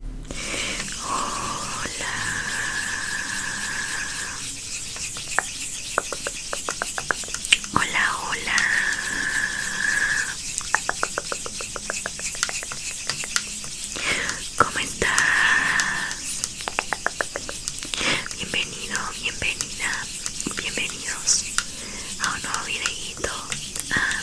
Hola. Hola, hola. ¿Cómo estás? Bienvenido, bienvenida, bienvenidos a un nuevo videíto ah,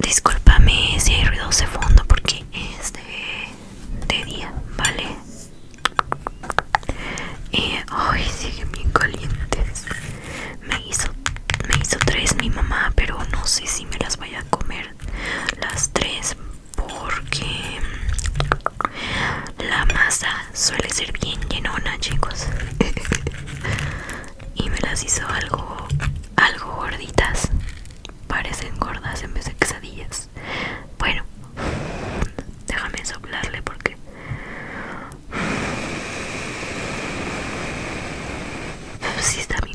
Disculpame si hay ruido de fondo porque es de, día, ¿vale? Y eh, Ay, sigue bien calientes. Me hizo, me hizo tres mi mamá, pero no sé si me las voy a comer las tres porque la masa suele ser bien llenona, chicos. y me las hizo algo, algo gorditas. Parecen gordas en vez de quesadillas. Bueno, déjame soplarle porque. Si está bien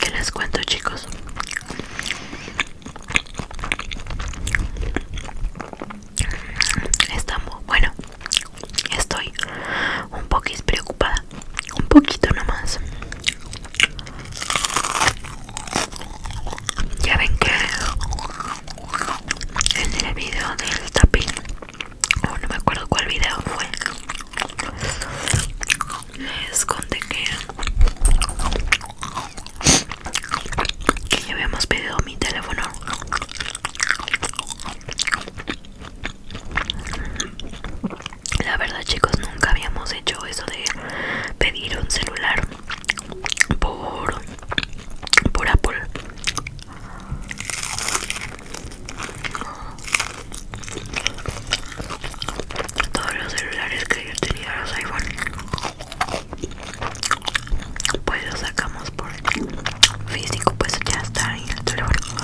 ¿Qué les cuento, chicos? estamos bueno. Estoy un poquito preocupada. Un poquito nomás. Ya ven que en el video del tapín, o no me acuerdo cuál video fue, les conté que que ya habíamos pedido mi teléfono la verdad chicos nunca habíamos hecho eso de pedir un celular por por Apple todos los celulares que yo tenía los iPhone pues lo sacamos por físico pues ya está en el teléfono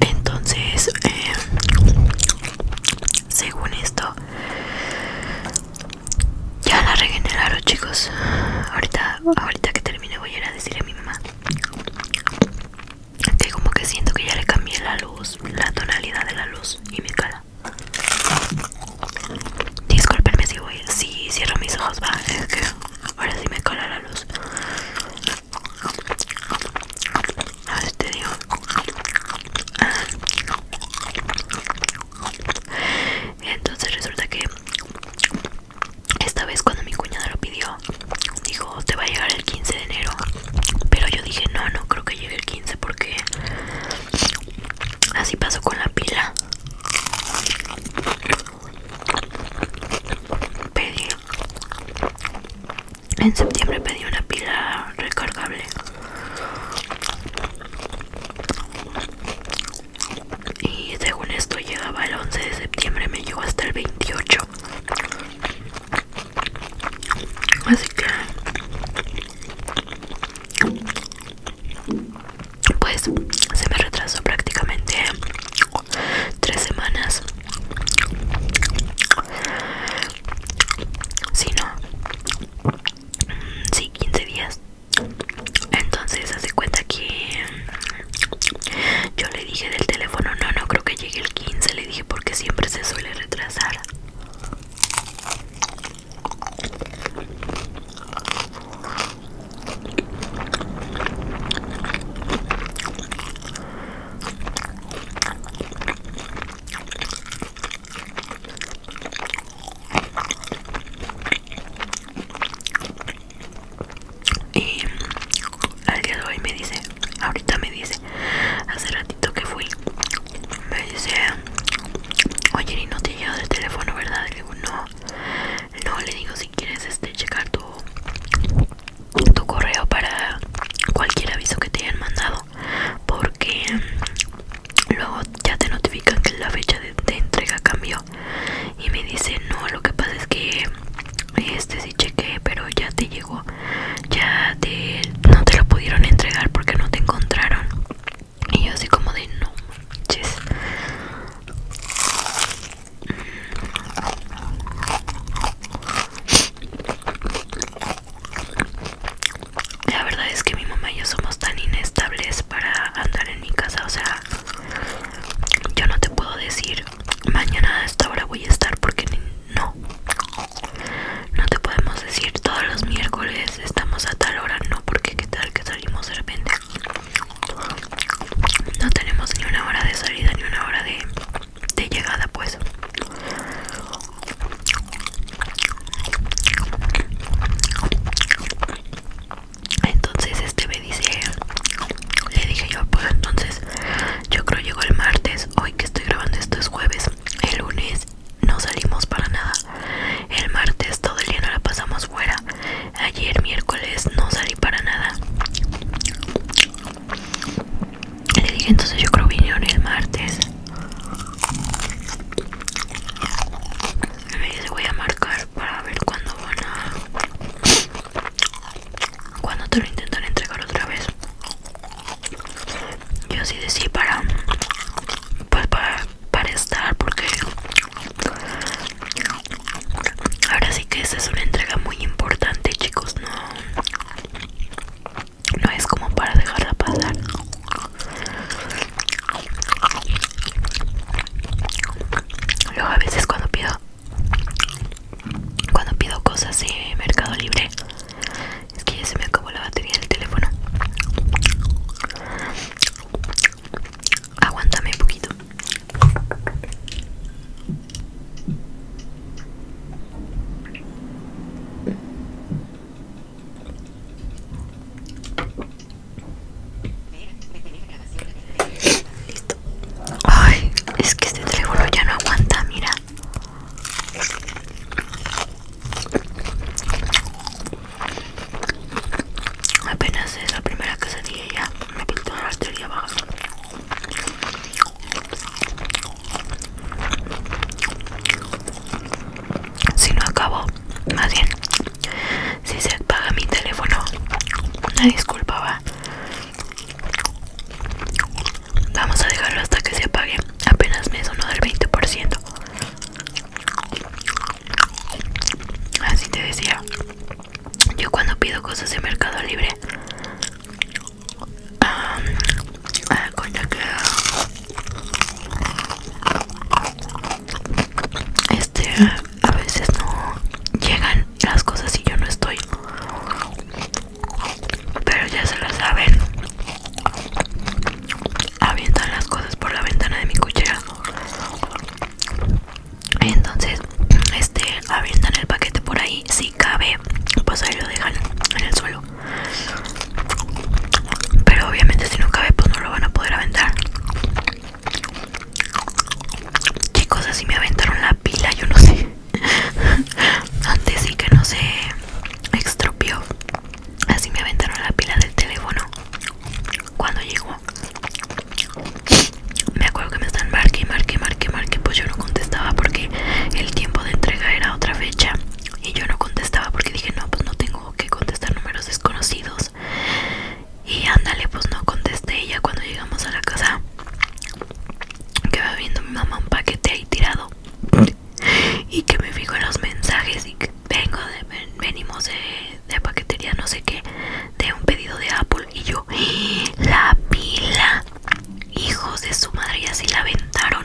entonces eh, según esto ya la regeneraron chicos ahorita ahorita que termine voy a ir a decirle a mi mamá que como que siento que ya le cambié la luz, la tonalidad de la luz y me cala Disculpenme si voy, si cierro mis ojos, va, es que ahora sí me cala la luz. A te digo. Ah. Entonces resulta que esta vez cuando mi cuñada lo pidió, dijo, te va a llegar el 15 de enero. Pero yo dije, no, no creo que llegue el 15 porque así pasó con la pila. Pedí. En septiembre pedí una pila recargable y según esto llegaba el 11 de septiembre me llegó hasta el 28 así que pues se me retrasó prácticamente 3 semanas si no sí, 15 días entonces hace cuenta que yo le dije del teléfono, no, no creo que llegue el 15, le dije porque siempre se suele retrasar. Y al día de hoy me dice, ahorita me dice, hace ratito que fui, me dice, oye, y no te llega llegado el teléfono, ¿verdad? Le digo, no, no, le digo, si quieres este checar tu, correo para cualquier aviso que te hayan mandado, porque mm, luego ya te notifican que la fecha de entrega cambió y me dice no lo que pasa es que este sí chequé pero ya te llegó ya te no te lo pudieron entregar porque no te encontraron y yo así como de no la verdad es que mi mamá y yo somos tan inestables para andar en mi casa, o sea, yo no te puedo decir mañana a esta hora voy a estar porque no no te podemos decir todos los miércoles estamos a tal hora no porque qué tal que salimos de repente no tenemos ni una hora de salida ni una hora de, de llegada pues entonces este me dice le dije yo pues entonces yo creo llegó el martes hoy que estoy grabando esto es jueves el lunes no salimos para nada el martes todo el día no la pasamos fuera ayer miércoles no salí para nada le dije entonces yo creo vinieron el martes me dice voy a marcar para ver cuándo van a cuando te lo intentan entregar otra vez yo sí para pues para, para estar porque ahora sí que esa es una entrega muy importante chicos no no es como para dejarla pasar luego a veces cuando pido cuando pido cosas de Mercado Libre es que ya se me acabó la batería del teléfono aguántame un poquito Listo. Ay, es que este teléfono ya no aguanta, mira. Apenas es la primera y ya me pinto la batería baja. Si no acabo, más bien, si se apaga mi teléfono una disculpa va vamos a dejarlo hasta que se apague apenas me sonó del 20% así te decía yo cuando pido cosas de mercado libre ah, con que este a veces no llegan las cosas y yo no estoy pero ya se lo saben avientan las cosas por la ventana de mi cuchera entonces este avientan el paquete por ahí si cabe pues ahí lo dejan en el suelo pero obviamente si no cabe pues no lo van a poder aventar Chicos, así me aventaron la pila, yo no sé. Antes sí que no se estropeó, Así me aventaron la pila del teléfono cuando llegó. Me acuerdo que me están marque, marque, marque, marque. Pues yo no contestaba porque el tiempo de entrega era otra fecha. Y yo no contestaba porque dije, no, pues no tengo que contestar números desconocidos y ándale pues no contesté ella cuando llegamos a la casa que va viendo mi mamá un paquete ahí tirado y que me fijo en los mensajes y que vengo de, venimos de, paquetería no sé qué de un pedido de Apple y yo ¡Ah, la pila hijos de su madre y así la aventaron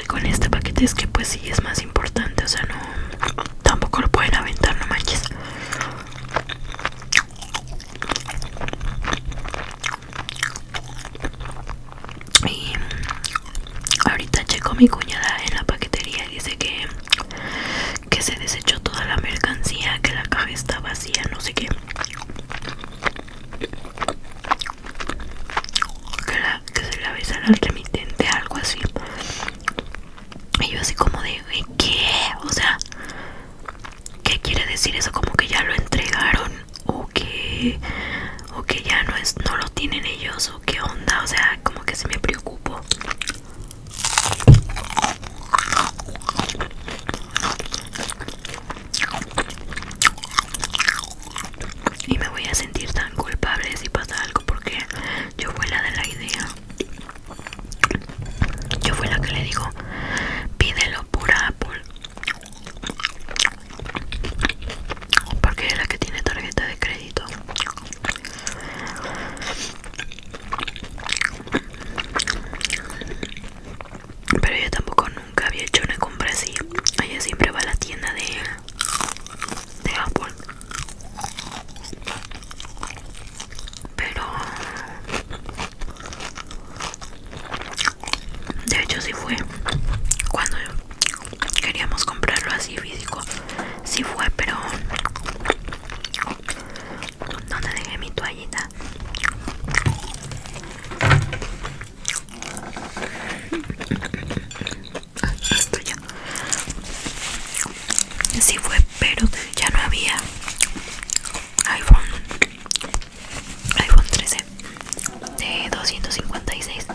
con este paquete es que pues sí es más importante, o sea, no tampoco lo pueden aventar, no manches. Y ahorita checo mi cuñada en la paquetería y dice que que se desechó toda la mercancía, que la caja está vacía, no sé qué que se le avisara al remitente, algo así. Y yo así como de, ¿qué? O sea, ¿qué quiere decir eso? Como que ya lo entregaron o que, o que ya no, es, no lo tienen ellos o qué onda. O sea, como que se me preocupo y me voy a sentir tan culpable si pasa algo porque yo fui la de la idea yo fui la que le digo pídelo por Apple porque es la que tiene tarjeta de crédito pero yo tampoco nunca había hecho una compra así ella siempre va a la tienda de de Apple pero de hecho sí fue cuando queríamos comprarlo así físico Si fue pero donde dejé mi toallita estoy ya fue pero ya no había iPhone iPhone 13 de 256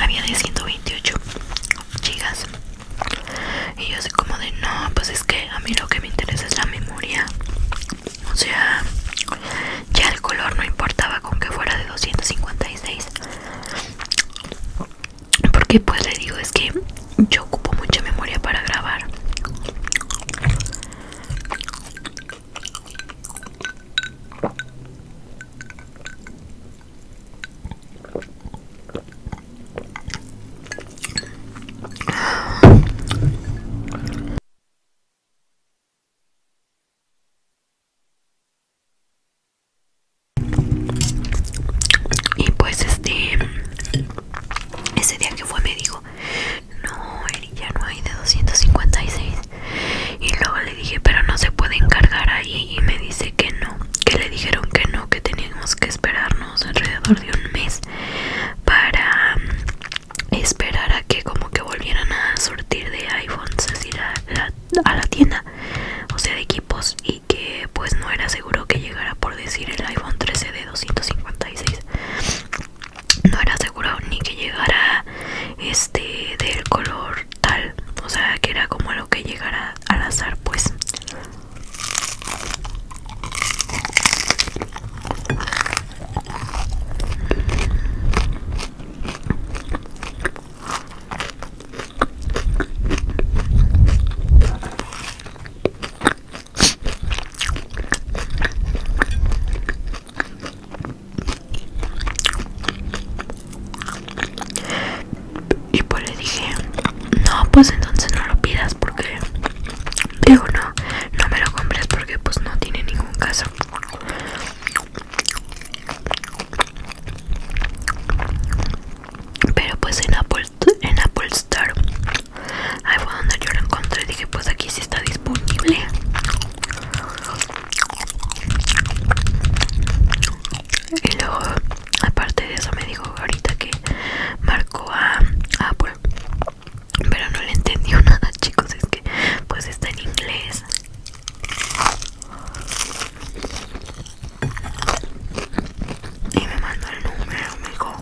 había de 128 gigas y yo así como de no pues es que a mí lo que me interesa es la memoria o sea ya el color no importaba con que fuera de 256 porque pues le digo es que yo ocupo mucha memoria para grabar y pues este ese día que fue me dijo, no, Eri, ya no hay de 256. Y luego le dije, pero no se puede encargar ahí. Y me dice que no, que le dijeron que no, que teníamos que esperarnos alrededor de un mes para mm, esperar a que como que volvieran a sortir de iPhones así la a la tienda o sea de equipos y que pues no era seguro que llegara por decir el iPhone 13 de 256 no era seguro ni que llegara este del color tal o sea que era como lo que llegara al azar pues y pues le dije, no, pues entonces no lo pidas porque, digo, no, no me lo compres porque pues no tiene ningún caso. Pero pues en Apple, en Apple Store Ahí fue donde yo lo encontré y dije pues aquí sí está disponible Y luego aparte de eso me dijo ahorita que marcó a Apple Pero no le entendió nada chicos es que pues está en inglés y me mandó el número, amigo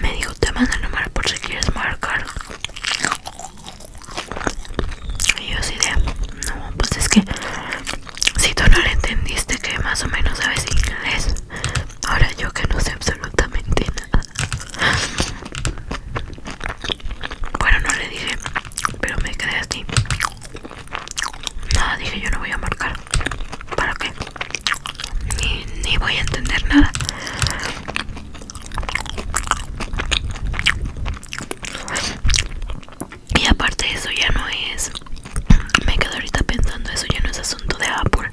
Me dijo, te mando el número por si quieres marcar. Y yo sí de, no, pues es que si tú no le entendiste que más o menos sabes inglés, ahora yo que no sé absolutamente nada bueno, no le dije, pero me quedé así. Nada, dije yo no voy a marcar. ¿Para qué? Ni, voy a entender nada. Y aparte eso ya no es... Me quedo ahorita pensando, eso ya no es asunto de Apple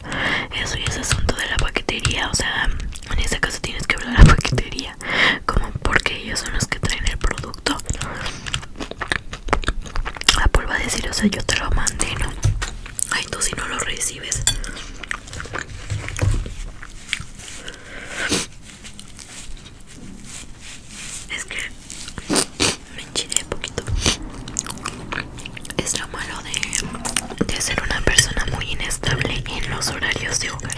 eso y ese asunto de la paquetería. O sea, en este caso tienes que hablar a la paquetería. Como porque ellos son los que traen el producto. la va a decir, o sea, yo te lo mandé, ¿no? Ay, tú si no lo recibes. Es que me enchilé poquito es lo malo de, ser una persona muy inestable en los horarios de hogar.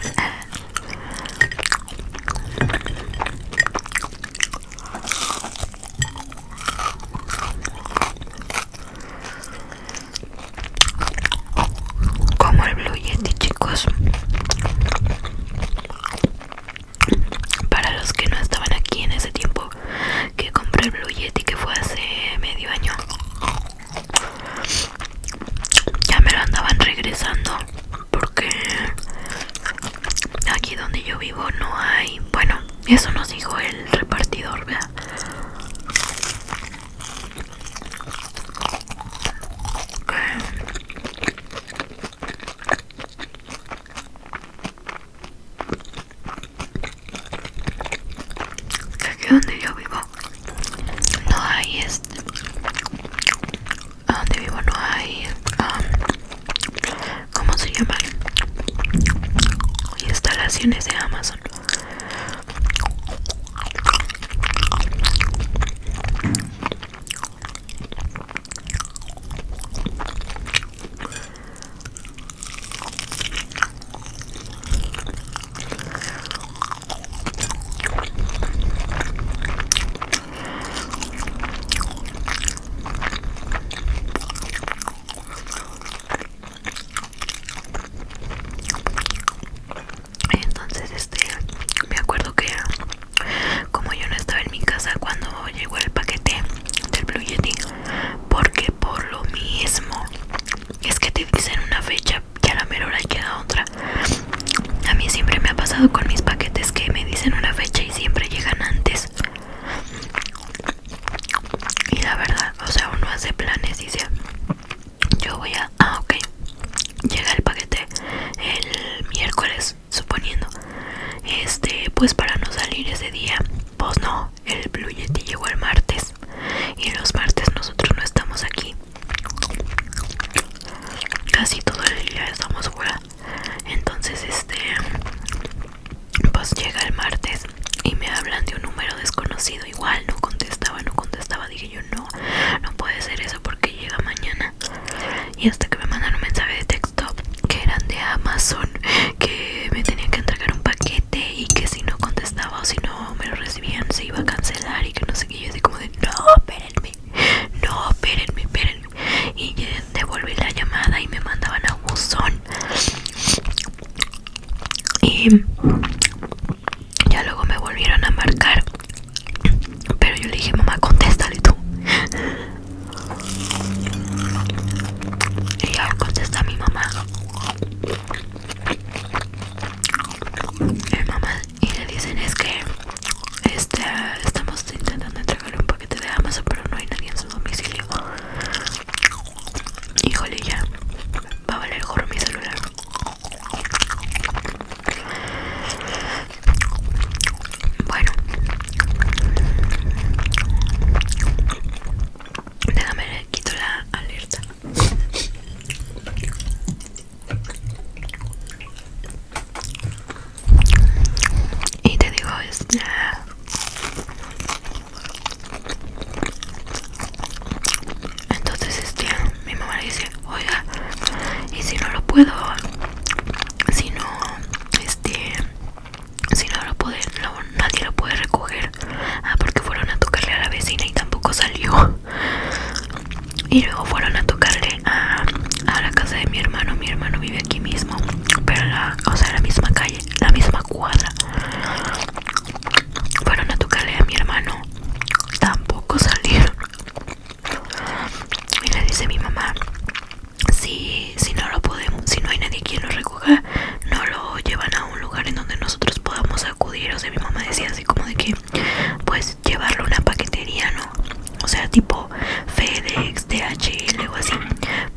Como el Blue Yeti, chicos. Para los que no estaban aquí en ese tiempo que compré el Blue Yeti, que fue hace medio año ya me lo andaban regresando porque aquí donde yo vivo no hay bueno eso nos dijo el repartidor ¿verdad? que donde yo vivo no hay es, este, donde vivo no hay um, ¿cómo se llaman? instalaciones de Amazon entonces este me acuerdo que como yo no estaba en mi casa cuando llegó el paquete del Blue Yeti porque por lo mismo es que te dicen una fecha que a la mera hora llega otra. A mí siempre me ha pasado con mis paquetes que me dicen una fecha y siempre llegan antes. Y la verdad, o sea, uno hace planes y dice, yo voy a... Ah, ok. Llega el paquete el miércoles, suponiendo. Este, pues para no salir ese día pues no, el Blue Yeti llegó el martes y los martes nosotros no estamos aquí. Casi todo el día estamos fuera. Entonces este pues llega el martes y me hablan de un número desconocido. Igual no contestaba, no contestaba. Dije yo no, no puede ser eso porque llega mañana. Y hasta que me mandaron un mensaje de texto que eran de Amazon que me tenían que entregar un paquete y que si no contestaba o si no me lo recibían se iba a cancelar y que no sé qué. Yo así como de, no, espérenme, no, espérenme, espérenme. Y devolví la llamada y me mandaban a buzón. Y ya luego me volvieron a marcar. Pero yo le dije, mamá, contéstale tú. Y ahora contesta mi mamá mamá y le dicen es que este, estamos intentando entregarle un paquete de Amazon pero no hay nadie en su domicilio híjole ya va a valer juro mi celular bueno Déjame le quito la alerta. Y te digo entonces este mi mamá le dice oiga y si no lo puedo si no este si no lo puede, nadie lo puede recoger. Ah, porque fueron a tocarle a la vecina y tampoco salió. Y luego fueron a tocarle a, la casa de mi hermano. Mi hermano vive aquí mismo, pero la, o sea, la misma calle, la misma cuadra. Fueron a tocarle a mi hermano, tampoco salió Y le dice mi mamá, si, si no lo podemos, si no hay nadie quien lo no lo llevan a un lugar en donde nosotros podamos acudir o sea mi mamá decía así como de que pues llevarlo a una paquetería no o sea tipo FedEx DHL o así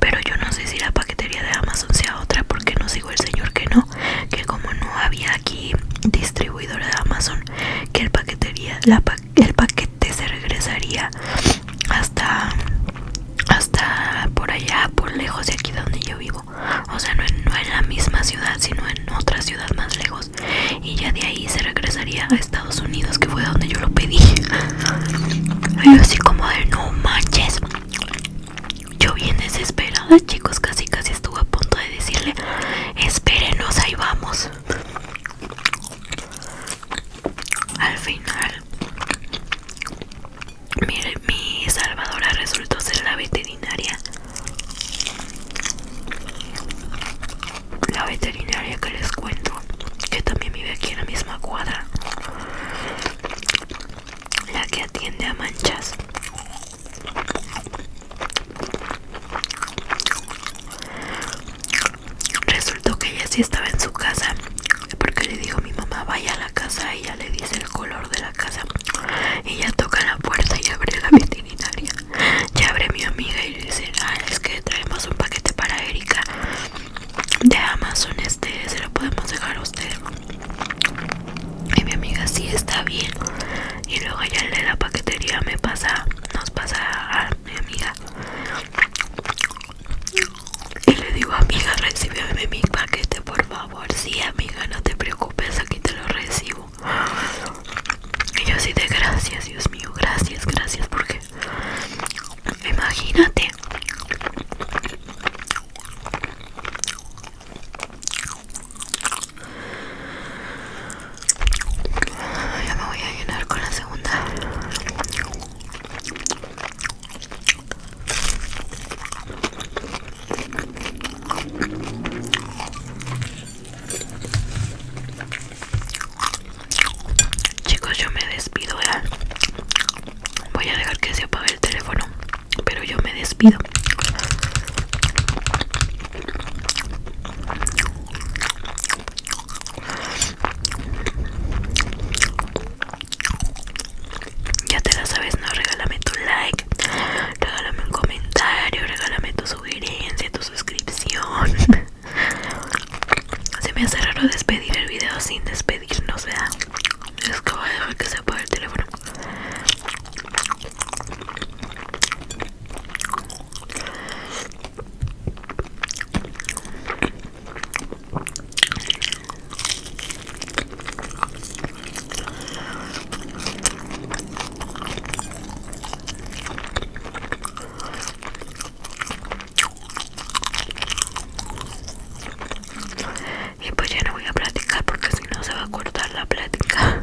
pero yo no sé si la paquetería de Amazon sea otra porque no sigo el señor que no que como no había aquí distribuidor de Amazon que el paquetería la el paquete se regresaría hasta hasta por allá, por lejos de aquí donde yo vivo. O sea, no en, la misma ciudad, sino en otra ciudad más lejos. Y ya de ahí se regresaría a Estados Unidos, que fue donde yo lo pedí. así como de no manches. Yo bien desesperada, chicos, casi casi estuve a punto de decirle, espérenos, ahí vamos. Al final Mire, mi salvadora resultó ser la veterinaria la veterinaria que les cuento que también vive aquí en la misma cuadra la que atiende a manchas resultó que ella sí estaba en su casa porque le digo a mi mamá vaya a la casa, y ella le dice el color de la casa, ella toca la puerta y abre la veterinaria, ya abre mi amiga y le dice, ah, es que traemos un paquete para Erika de Amazon, este se lo podemos dejar a usted. Y mi amiga sí está bien. Y luego ya el de la paquetería me pasa, nos pasa a mi amiga. Y le digo, amiga, recibeme mi paquete, por favor. Sí, amiga, no te preocupes, aquí te lo recibo. Y yo así de gracias, Dios mío, gracias, gracias, porque imagínate. Ya me voy a llenar con la segunda. Chicos, yo me despido, Voy a dejar que se apague el teléfono, pero yo me despido. Ya te la sabes, no regálame tu like, regálame un comentario, regálame tu sugerencia, tu suscripción. Se me hace raro despedir el video sin despedirnos, ¿verdad? Es que voy a dejar que se apague el teléfono. Y pues ya no voy a platicar porque si no se va a cortar la plática.